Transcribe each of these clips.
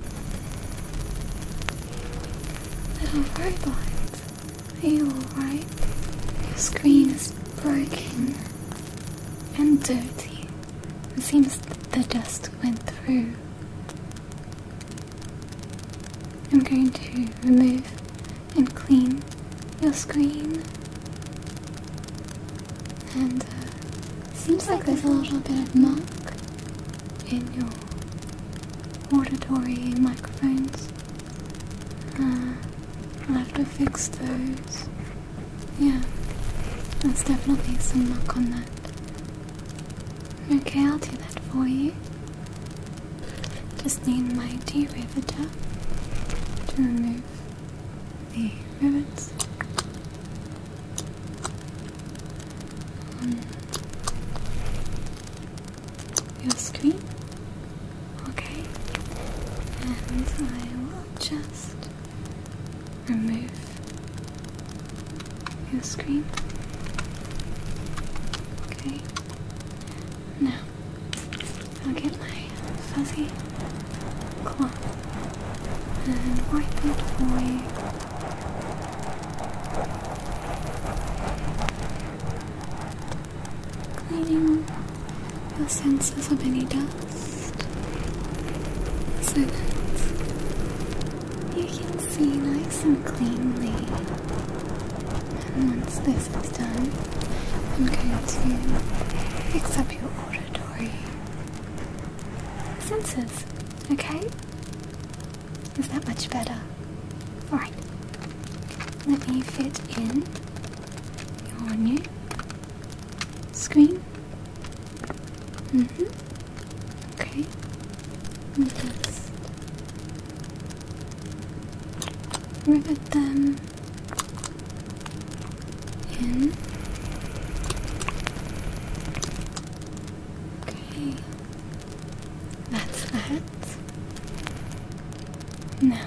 Little robot, are you alright? Your screen is broken and dirty. It seems the dust went through. I'm going to remove and clean your screen. And uh, seems like there's a little bit of muck in your auditory microphones. Uh, I'll have to fix those. Yeah, there's definitely some luck on that. Okay, I'll do that for you. Just need my derivator to remove the rivets. Um, your screen? Okay. And I will just remove your screen. Okay. Now, I'll get my fuzzy cloth and wipe it away. Cleaning your senses of any dust so you can see nice and cleanly. And once this is done, I'm going to fix up your auditory senses. Okay? Is that much better? Alright. Let me fit in your screen. Mm-hmm. Okay. Just at them in Okay. That's that. No,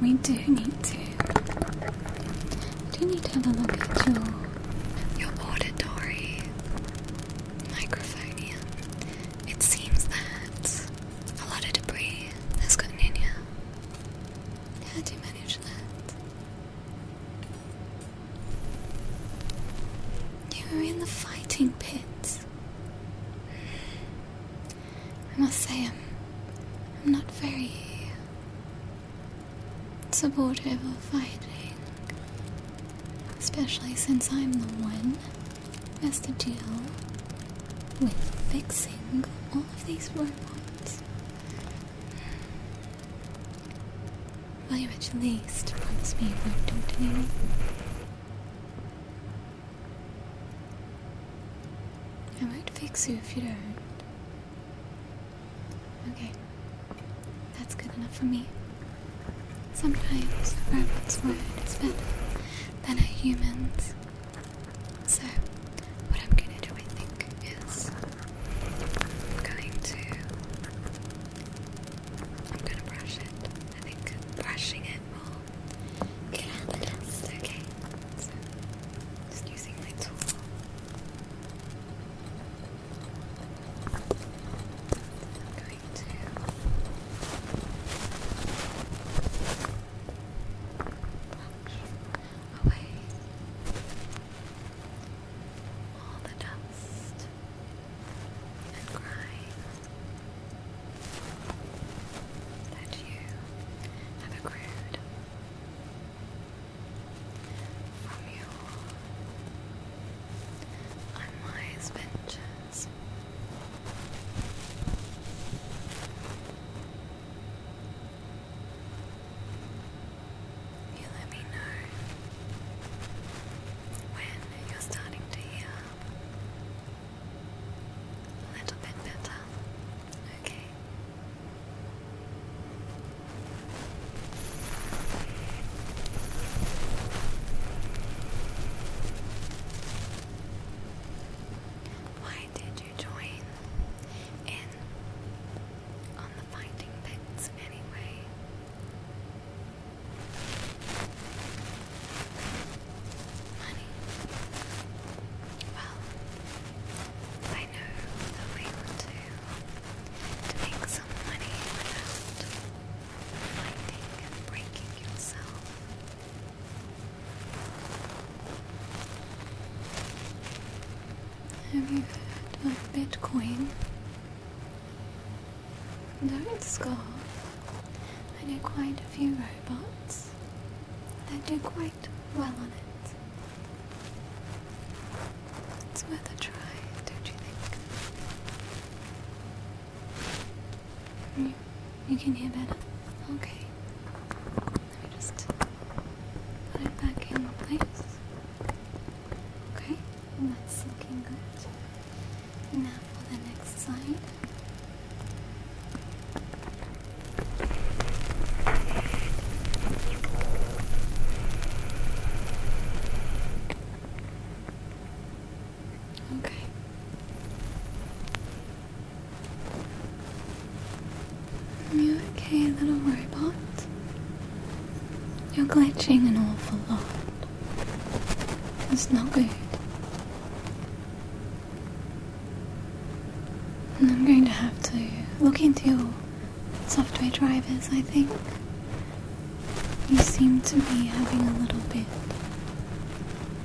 we do need to. We do need to have a look at your your auditory microphonia. It seems that a lot of debris has gotten in here. How do you manage that? You are in the fighting pits. I must say, I'm, I'm not very supportive of fighting, especially since I'm the one who has to deal with fixing all of these robots. Will you at least promise me you won't do it anymore? I not fix you if you don't. Okay. That's good enough for me. Sometimes a robot's word better than a human's. So, what I'm gonna do, I think, is I'm going to. I'm gonna brush it. I think brushing it will get out the dust. Okay. So, just using my tool. I'm going to. Brush away all the dust and grime that you have accrued from your unwise ventures. You let me know when you're starting to hear a little bit better. Okay. Why why did you join in on the finding pits anyway? Money. Well, I know the way to to make some money without fighting and breaking yourself. Have you heard of Bitcoin? Though it's gone, I know quite a few robots that do quite well on it. It's worth a try, don't you think? You, can hear better? Okay. just... Put it back in place. Okay, that's looking good. Now for the next side. Okay. Are you okay, little robot? You're glitching an awful lot. It's not good. And I'm going to have to look into your software drivers, I think. You seem to be having a little bit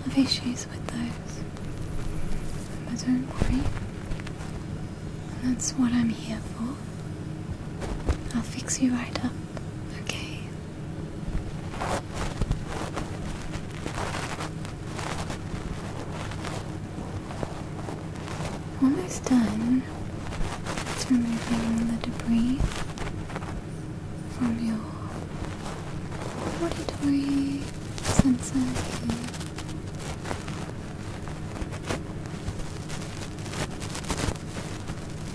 of issues with those. But don't worry. And that's what I'm here for. I'll fix you right up, okay? Almost done. It's removing the debris from your auditory sensor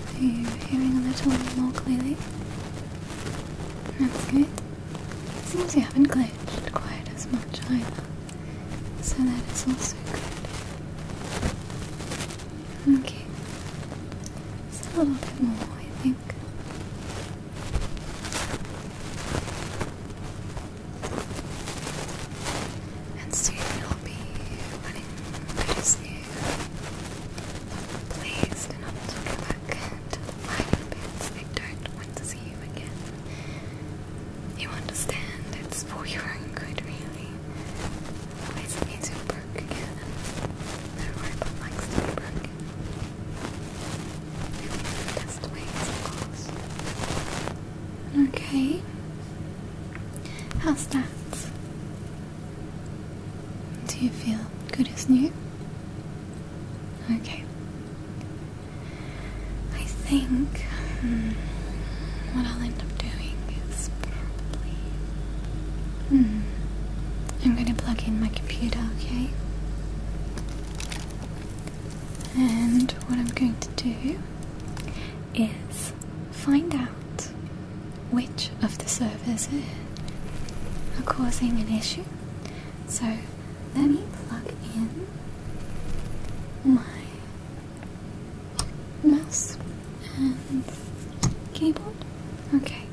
are you hearing a little more clearly? That's good. Seems you haven't glitched quite as much either, so that is also good. Okay, just a little bit more, I think. And soon you'll be running pretty soon. Please do not go back I don't want to see you again. You understand, it's for your own good, really. Otherwise, it means you're broke again. No be broken. Okay. How's that? Do you feel good as new? Okay. I think hmm, what I'll end up doing is probably. Hmm, I'm going to plug in my computer, okay? And what I'm going to do is find out which of the servers are causing an issue. So let me plug in my mouse and keyboard. Okay.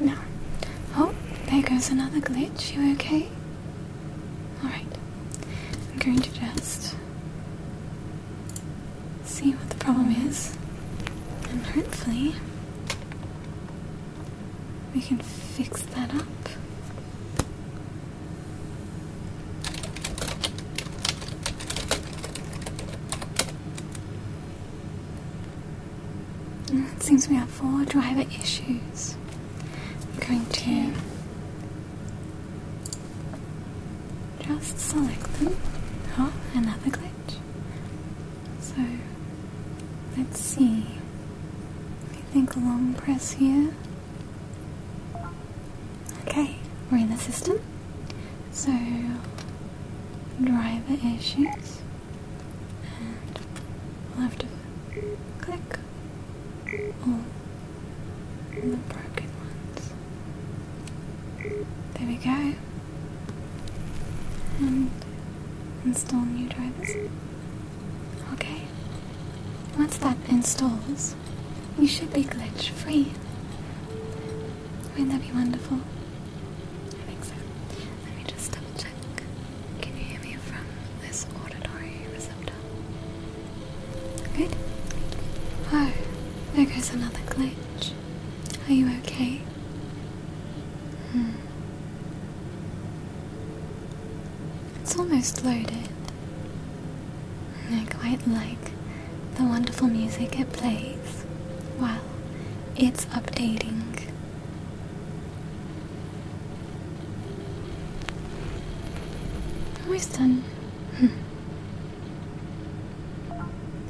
No. Oh, there goes another glitch. You okay? Alright. I'm going to just see what the problem is. And hopefully we can fix that up. Mm, it seems we have four driver issues. I'm going to just select them. Oh, another glitch. So let's see. I think long press here. Okay, we're in the system. So driver issues and we'll have to click all the broken ones. There we go. And install new drivers. Okay. Once that installs, you should be glitch free. Wouldn't that be wonderful? I think so. Let me just double can you hear me from this auditory receptor? Good. Oh, there goes another glitch. Are you okay? Hmm. It's almost loaded. I quite like the wonderful music it plays while it's updating. Winston. Hmm.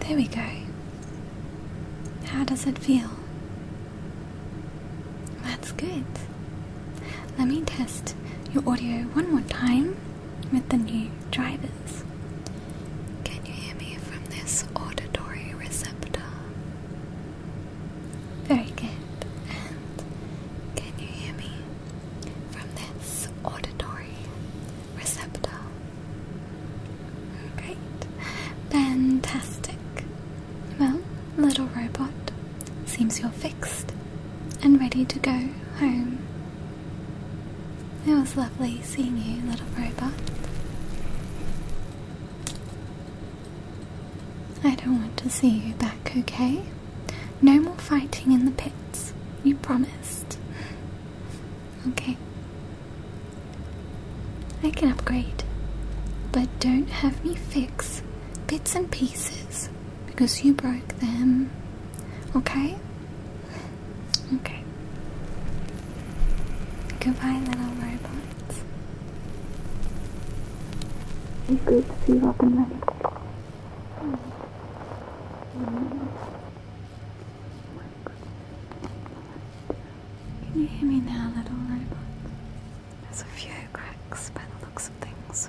There we go. How does it feel? That's good. Let me test your audio one more time with the new drivers. Can you hear me from this auditory receptor? Very good. And can you hear me from this auditory receptor? Great. Fantastic. Well, little robot, seems you're fixed and ready to go home. It was lovely seeing you, little robot. I don't want to see you back, okay? No more fighting in the pits. You promised. okay. I can upgrade, but don't have me fix bits and pieces because you broke them. Okay? Okay. Goodbye, little robot. It's good to see you up and ready. Can you hear me now, little robot? There's a few cracks by the looks of things.